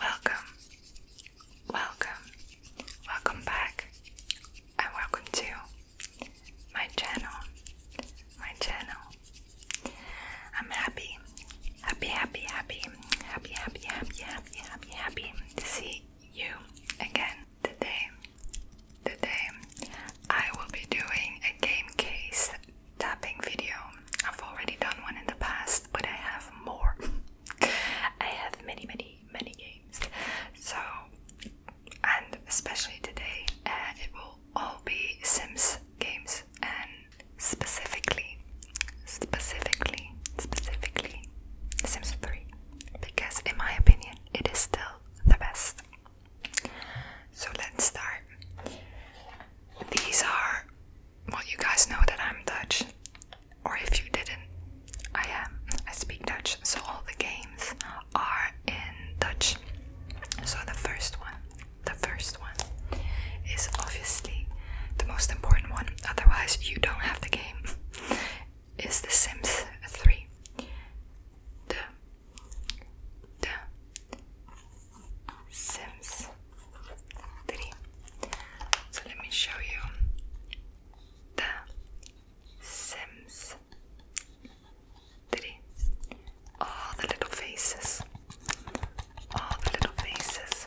Welcome, welcome, welcome back, and welcome to my channel. My channel. I'm happy, happy, happy, happy, happy, happy, happy, happy, happy, happy to see you again today. Today, I will be doing a game case tapping video. I've already done one in the past, but I have more. I have many, many, many games. So, and especially today, uh, it will all be Sims games, and specifically, specifically, specifically, Sims 3, because in my opinion, it is still the best. So let's start. These are well, you guys know that I'm Dutch, or if you didn't, I am. I speak Dutch, so all the games are in Dutch. So the first one, the first one, is obviously the most important one. Otherwise, you don't have the game. Is The Sims Three? The the Sims Three. So let me show you the Sims 3. All the little faces. All the little faces.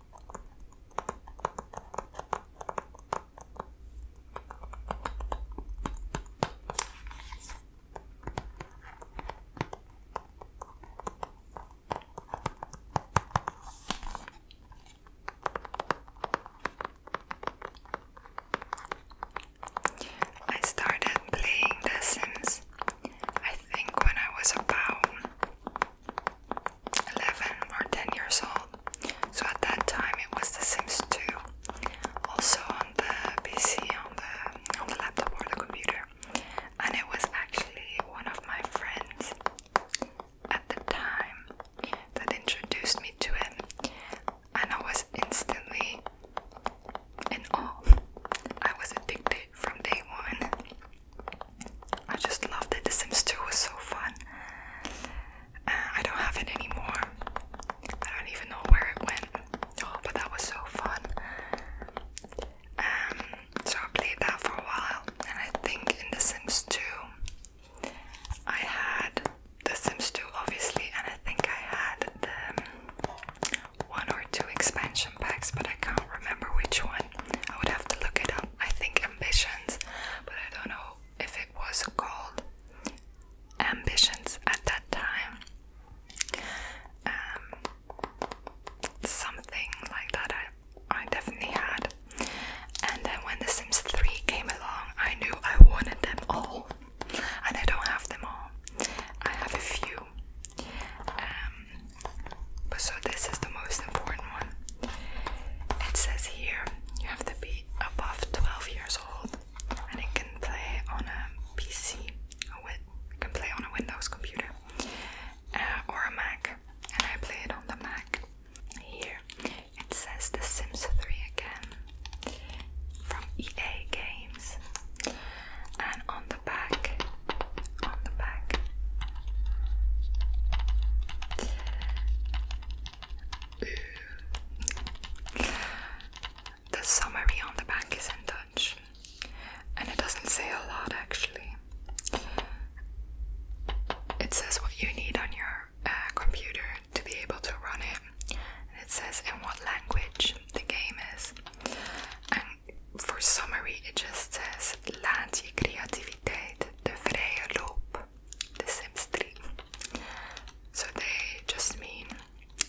I started playing The Sims, I think, when I was about 11 or 10 years old. So at that time it was The Sims 2. Also on the PC, on the on the laptop or the computer. And it was actually one of my friends at the time that introduced me to it. And I was instantly in awe. I was addicted from day one. I just loved it. The Sims 2 was so fun. Uh, I don't have it anymore. I don't even know where it went. Oh, but that was so fun. Um, so I played that for a while, and I think in The Sims 2, I had The Sims 2 obviously, and I think I had the um, one or two expansion packs, but I can't remember which one. I would have to look it up. I think ambitions, but I don't know if it was called ambitions at that time. Um, something like that I, I definitely had. And then when The Sims 3 came along, I knew I wanted them all. And I don't have them all. I have a few. Um, so this is the most important one. It says here you have to be above 12 years old and it can play on a PC, a wit can play on a Windows computer uh, or a Mac, and I play it on the Mac. Here it says The Sims 3 again from EA Games, and on the back on the back. The summary on the back is in Dutch, and it doesn't say a lot actually. It says what you need on your uh, computer to be able to run it, and it says in what language the game is, for summary, it just says laat je creativiteit de vrije loop, the Sims 3. So they just mean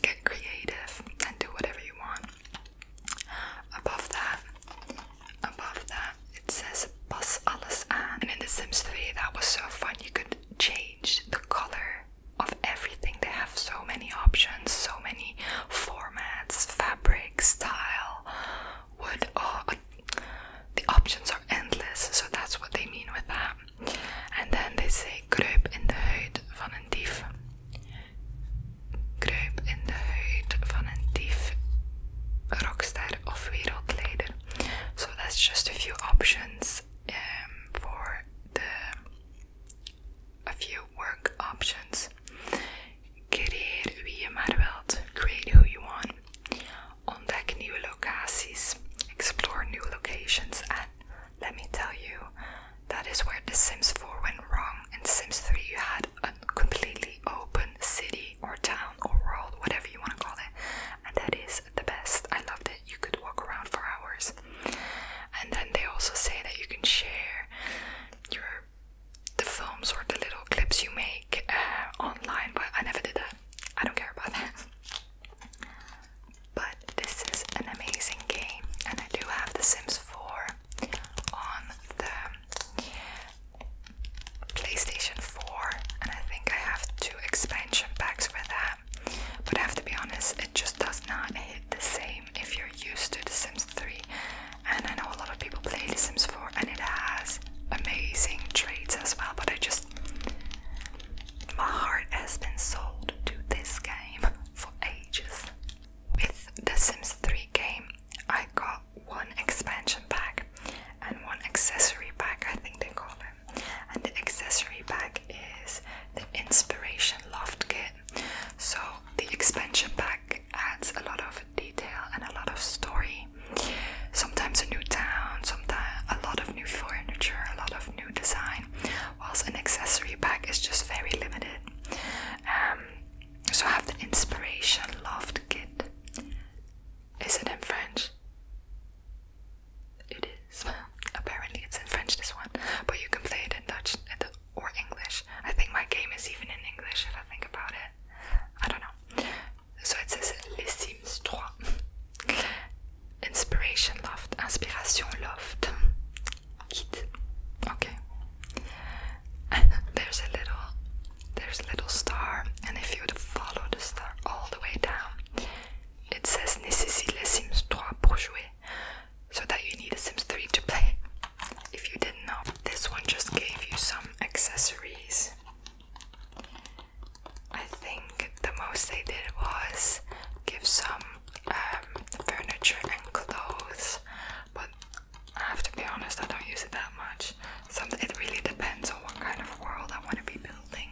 get creative and do whatever you want. Above that, above that, it says pas alles aan. And in The Sims 3, that was so fun. You could change the color of everything. They have so many options, so many formats, fabric, style, uh, uh, the options are endless, so that's what they mean with that. And then they say kruip in de huid van een dief. Kruip in de huid van een dief, rockstar of wereldleider. So that's just a few options um, for the a few work options. Creëer wie je maar Create who you want. Ontdek nieuwe locaties. Explore new locations. And let me tell you, that is where The Sims 4 went wrong. In Sims 3 you had a completely open city or town or world, whatever you want to call it. And that is the best. I loved it. You could walk around for hours. And then they also say that you can share your the films or the little clips you make uh, online, but I never did that. I don't care about that. But this is an amazing game, and I do have The Sims 4 on the PlayStation 4, and I think I have two expansion packs for that. But I have to be honest, it just does not hit the same if you're used to The Sims 3 and I know a lot of people play The Sims 4 and it has amazing traits as well but I just my heart has been sold to this game for ages. With The Sims 3 game I got one expansion pack and one accessory pack I think they call it and the accessory pack is the Inspiration Loft Kit so the expansion pack adds a lot of detail and a lot of story. Sometimes a new town, sometimes a lot of new furniture, a lot of new design, whilst an accessory pack is just very limited. Um, so I have the Inspiration Loft Kit. Is it in French? It is. Apparently, it's in French, this one, but you can play it in Dutch or English. I think my game is even in English if I think about it. I don't know. So it says Les Sims 3. Inspiration Loft. Inspiration Loft. Okay. there's a little there's a little star and if you would follow the star all the way down it says Necessite les Sims 3 pour jouer so that you need a Sims 3 to play. If you didn't know, this one just gave you some accessories. I think the most they did was give some um, furniture and clothes, but I have to be honest, I don't use it that much. Some, it really depends on what kind of world I want to be building.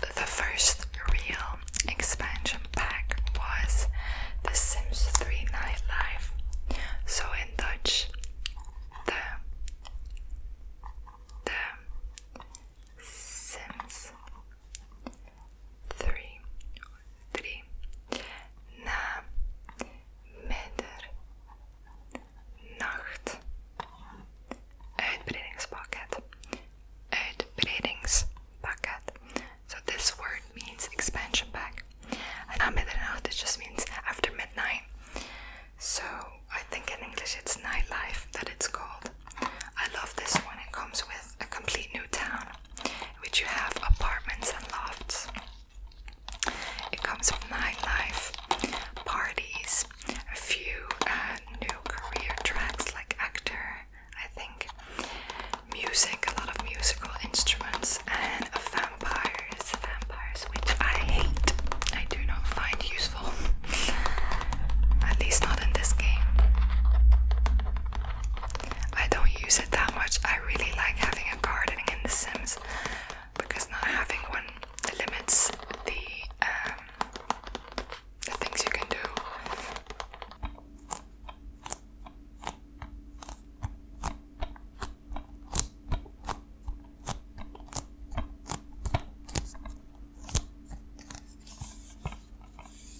The first real expansion pack was The Sims 3 Nightlife. So in Dutch, the the Sims three, three, na, midder, nacht, uitbreidingspakket, uitbreidingspakket. So this word means expansion pack. And na middernacht, it just means after midnight. So I think in English it's nightlife that it's called. I love this one. It comes with a complete new town which you have apartments and lofts. It comes with nightlife, parties, a few uh, new career tracks like actor, I think, music, a lot of musical instruments, and vampires, vampires, which I hate. I do not find useful, at least not in this game. I don't use it that much. I really like having a gardening in The Sims because not having one limits the um, the things you can do.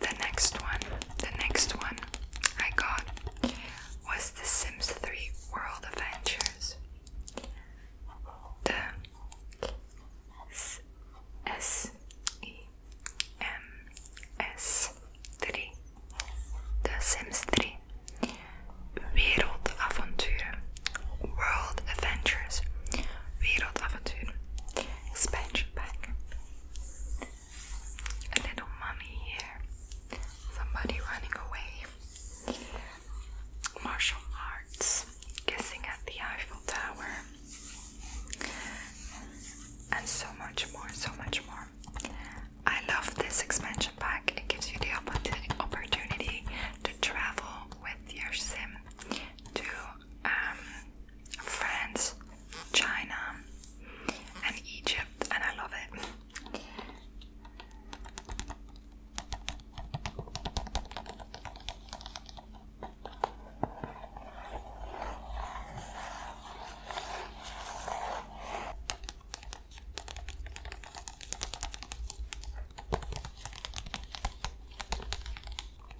The next one, the next one I got was The Sims 3 World Adventures. The S, S E M S 3 The Sims 3 Wereldavonturen World Adventures Wereldattentuur. Expansion pack. A little mummy here. Somebody running away. Martial arts. Kissing at the Eiffel Tower. And so much more, so much more. I love this expansion pack. It gives you the opportunity to travel with your sim to um, France, China, and Egypt, and I love it.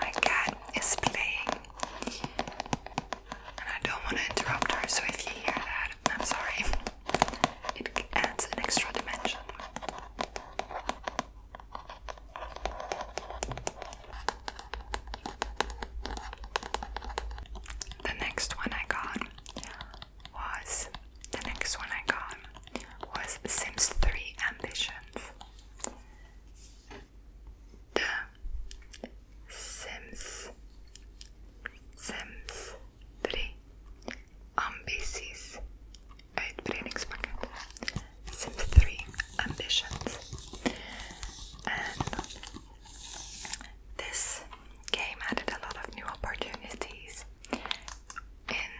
My cat is playing, and I don't want to interrupt her, so if you hear that, I'm sorry. It adds an extra dimension. The next one I got was the next one I got was Sims 3 Ambitions. The Sims Sims 3 Ambities uitbreidingspakket. Sims 3 Ambitions. this game added a lot of new opportunities in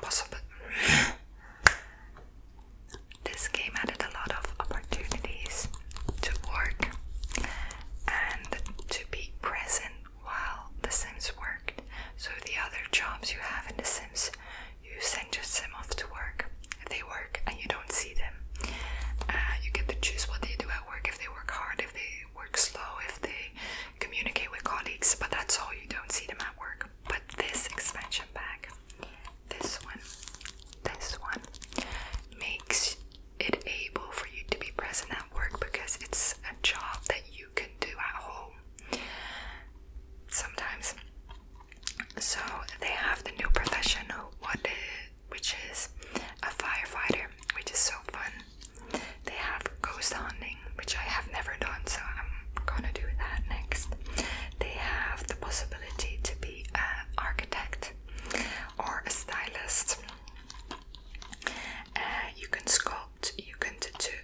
possible. This game added a lot of opportunities to work and to be present while The Sims worked. So, the other jobs you have in The Sims, you send your Sim off to work. They work and you don't see them. Uh, you get to choose what they do at work if they work hard, if they work slow, if they communicate with colleagues, but that's all. You don't see them at work. But this expansion bag, this one, this one, makes it able for you to be present at work because it's a job that you can do at home sometimes. So they have the new profession, what which is a firefighter, which is so fun they have ghost hunting, which I have never done, so I'm gonna do that next. They have the possibility to be an architect or a stylist. Uh, you can sculpt, you can tattoo,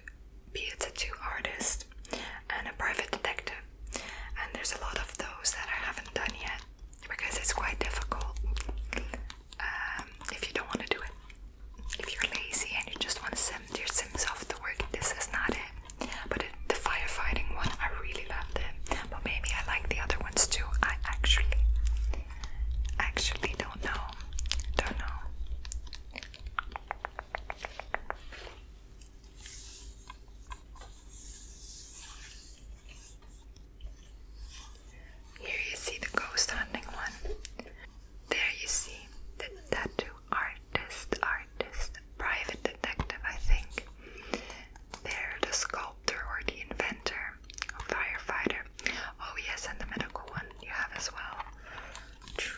be a tattoo artist, and a private detective. And there's a lot of those that I haven't done yet because it's quite difficult. Um, if you don't want to do it. If you're lazy and you just want to send your Sims off to work, this is not it. But the firefighting one, I really love it. But maybe I like the other ones too. I actually, actually don't know. Don't know. Here you see the ghost hunting one. There you see the tattoo artist, artist, private detective, I think. There, the sculptor or the inventor, firefighter. Oh, yes, and the medical one you have as well. True.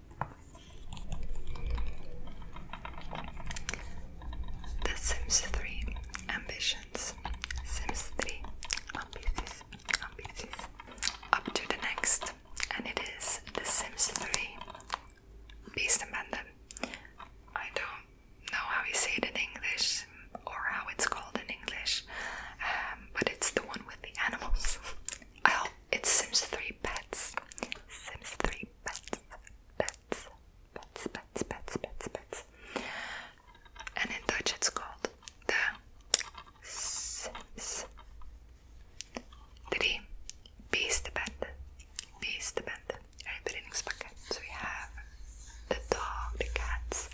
The Sims 3 ambitions. Sims 3 ambitions. Ambitions. Up to the next, and it is The Sims 3 Beast I don't know how you say it in English or how it's called in English, um, but it's the one with the animals. I it's Sims 3 Pets. Sims 3 pets, pets, pets, pets, pets, pets, pets. And in Dutch it's called the s, s Drie beestenbende. Beestenbende. Uitbreidingspakken. So we have the dog, the cats,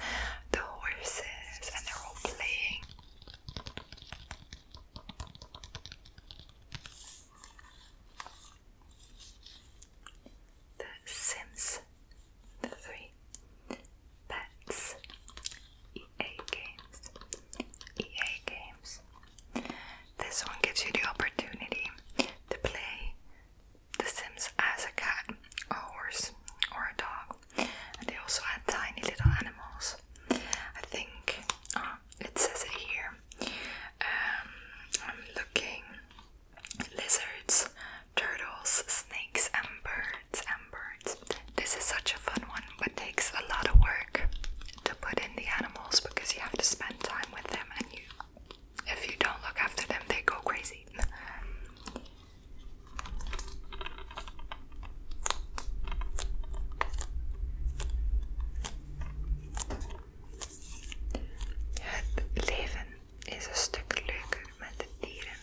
the horses, and they're all playing. The Sims, three pets, EA games, EA games. This one gives you the opportunity to play The Sims as a cat, a horse, or a dog. And they also had tiny little animals. I think uh, it says it here. Um, I'm looking lizards, turtles, snakes, and birds. And birds. This is such a fun one, but takes a lot of work to put in the animals because you have to spend time with them, and you, if you don't look after them, they go crazy. Het leven is een stuk leuker met dieren.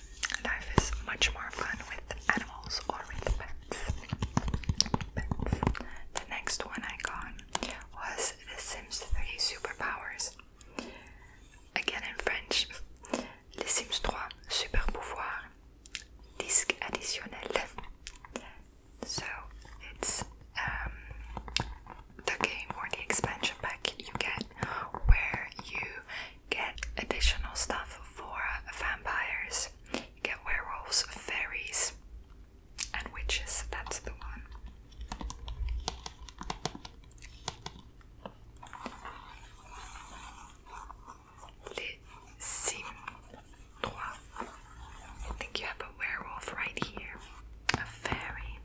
Life is much more fun with animals or with pets. The next one I got was The Sims 3 Superpowers. Again in French. Les Sims 3 Super Pouvoir. Disque additionnel. So it's um, the game or the expansion pack you get where you get additional stuff for vampires. get werewolves, fairies, and witches. That's the one. Les Sims I think you have a werewolf right here. A fairy.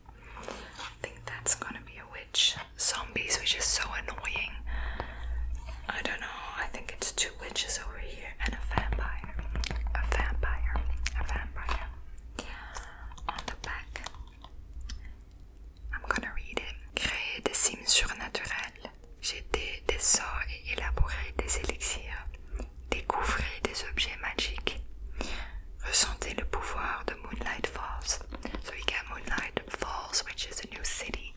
I think that's gonna be a witch. Zombies, which is so annoying. I don't know. I think it's two witches over here and a vampire. A vampire. A vampire. On the back. I'm gonna read it. Créer des cimes surnaturelles j'ai des, et élaboré des élixirs, découvrez des objets magiques. Ressentez le pouvoir de Moonlight Falls. So we get Moonlight Falls, which is a new city.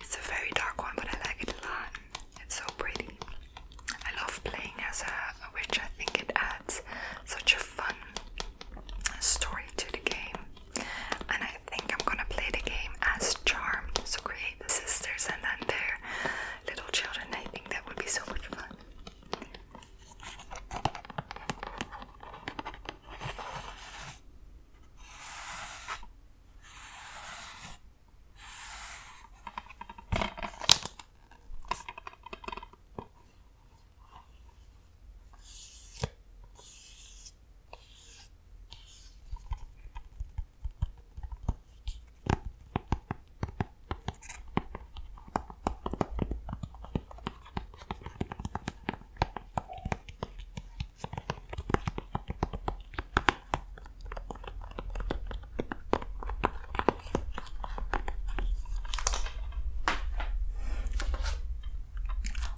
It's a very dark one, but I like it a lot. It's so pretty. I love playing as a, a witch. I think it adds such a fun story to the game. And I think I'm gonna play the game as Charmed. So create the sisters and then their little children. I think that would be so much fun.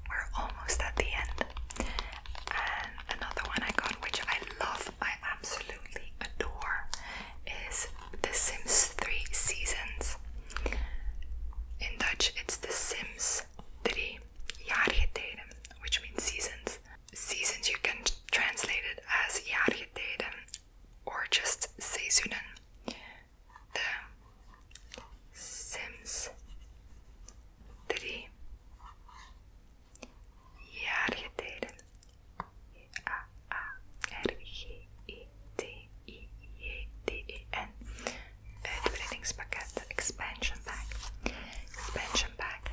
We're almost at the end, and another one I got, which I love I absolutely adore is The Sims 3 Seasons. In Dutch, it's The Sims 3 Jaargetijden, which means seasons. Seasons you can translate it as Jaargetijden or just Seizoenen. The Sims 3 Jaargetijden. a a r g e t i j d e n Uitbreidingspakket. Expansion pack. Expansion pack.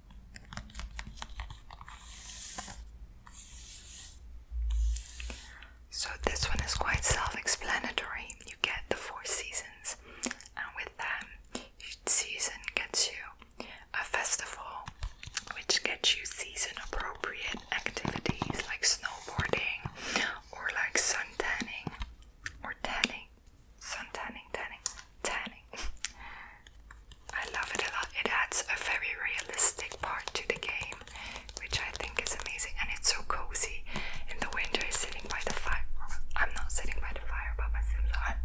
So, this one is quite self explanatory. You get the four seasons, and with them, season gets you a festival which gets you season appropriate activities like snowboarding or like sun tanning or tanning, sun tanning, tanning, tanning. I love it a lot. It adds a very realistic part to the game, which I think is amazing. And it's so cozy in the winter, sitting by the fire. I'm not sitting by the fire, but my Sims are.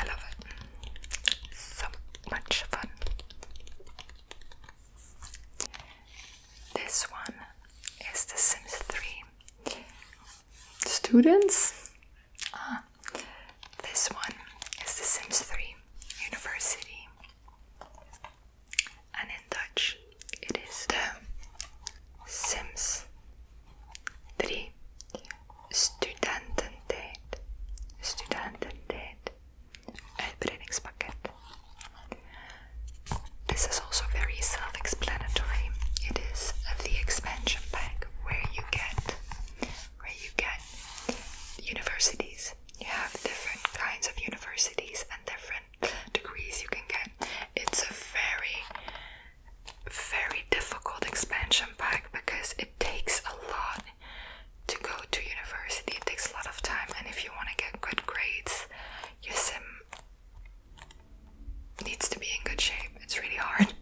I love it. So much fun. This one is The Sims 3. Students? Ah, this one is The Sims 3 University, and in Dutch it is The Sims 3 Studententijd. Studententijd. Uitbreidingspakket. This is also very self explanatory. It is the expansion pack where you get stuff you get universities. You have different kinds of universities and different degrees you can get. It's a very, very difficult expansion pack because it takes a lot to go to university. It takes a lot of time, and if you want to get good grades, your sim needs to be in good shape. It's really hard.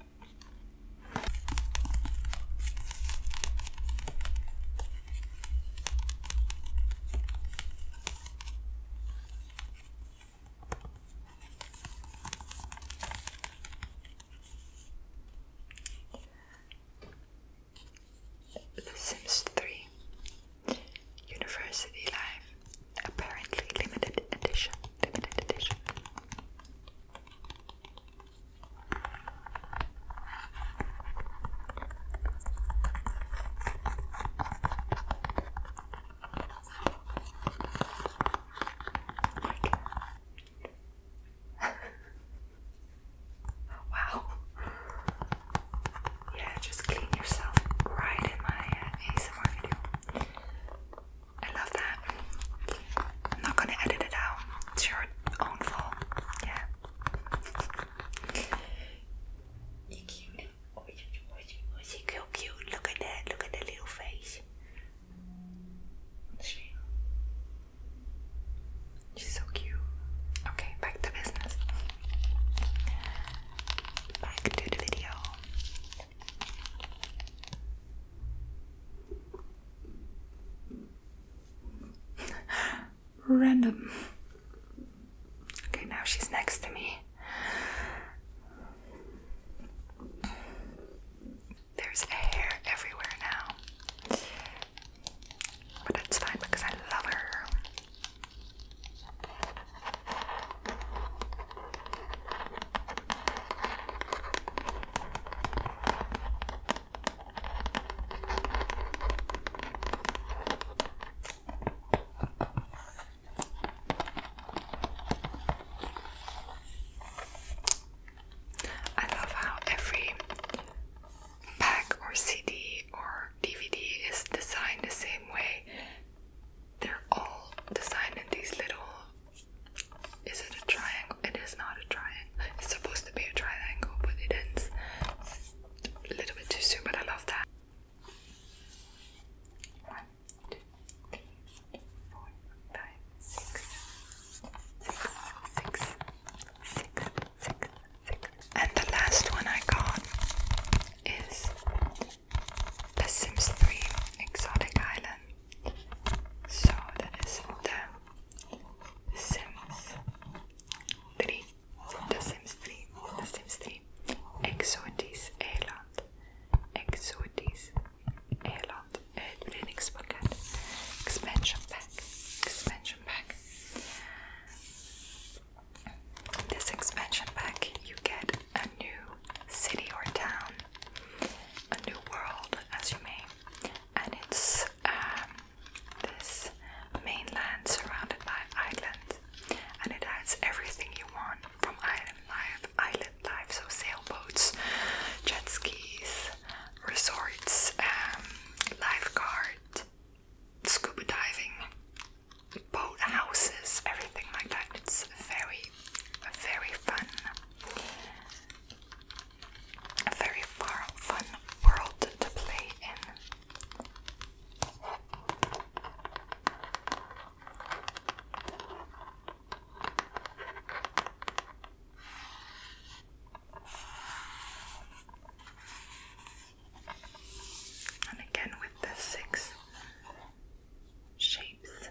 The Sims 3 University Life apparently limited edition limited edition wow. Yeah, just clean yourself right in my uh, ASMR video. I love that. I'm not gonna edit it out. It's your own fault. Yeah. You're cute. Oh, you, are so cute. Look at that. Look at that little face. She's so cute. Okay, back to business. Back to the video. Random. Okay, now she's next to me. There's hair everywhere now. But it's fine because I love her. I love how every pack or CD or DVD is designed the same way. They're all designed in these little is it a triangle? It is not a triangle. It's supposed to be a triangle, but it ends a little bit too soon, but I love that. One, two, three, four, five, six, six, six, six, six, six. And the last one I got is The Sims 3 Exotic Island. So that is the Sims, 3. The Sims 3. The Sims 3. Exotis Eiland. Exotis Eiland. Ett brytningspaket. Expansion pack. Expansion pack. This expansion pack you get a new city or town, a new world as you may, and it's um, this mainland surrounded by islands, and it has everything you want from island life, island life, so sailboats, jet skis, resorts, um, lifeguard, scuba diving, boat houses, everything like that. It's very, very fun a very far, fun world to play in. And again with the six shapes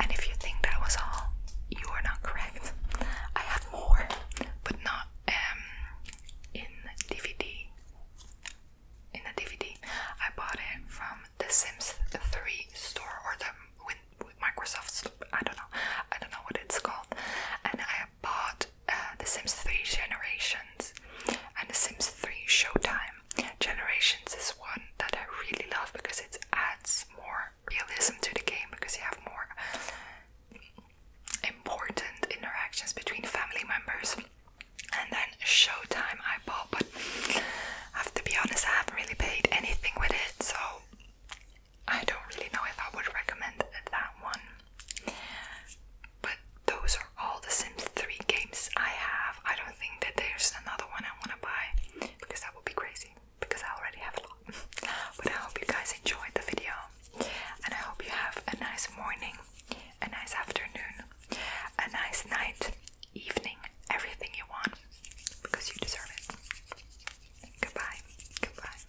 And if you think that was all, you are not correct. I have more, but not um in DVD. In the DVD, I bought it from the Sims 3 store or the with Microsoft. I don't know. I don't know what it's called. And I bought uh, the Sims 3 Generations and The Sims 3 Showtime. Generations is one that I really love because it adds more realism to the game because you have more important interactions between family members. And then Showtime I bought, but have to be honest, I haven't really paid anything with it, so I don't really know if I would recommend that one but those are all the Sims 3 games I have. I don't think that there's another one I want to buy because that would be crazy because I already have a lot. but I hope you guys enjoyed the video and I hope you have a nice morning, a nice afternoon, a nice night, evening, everything you want because you deserve it. Goodbye. Goodbye.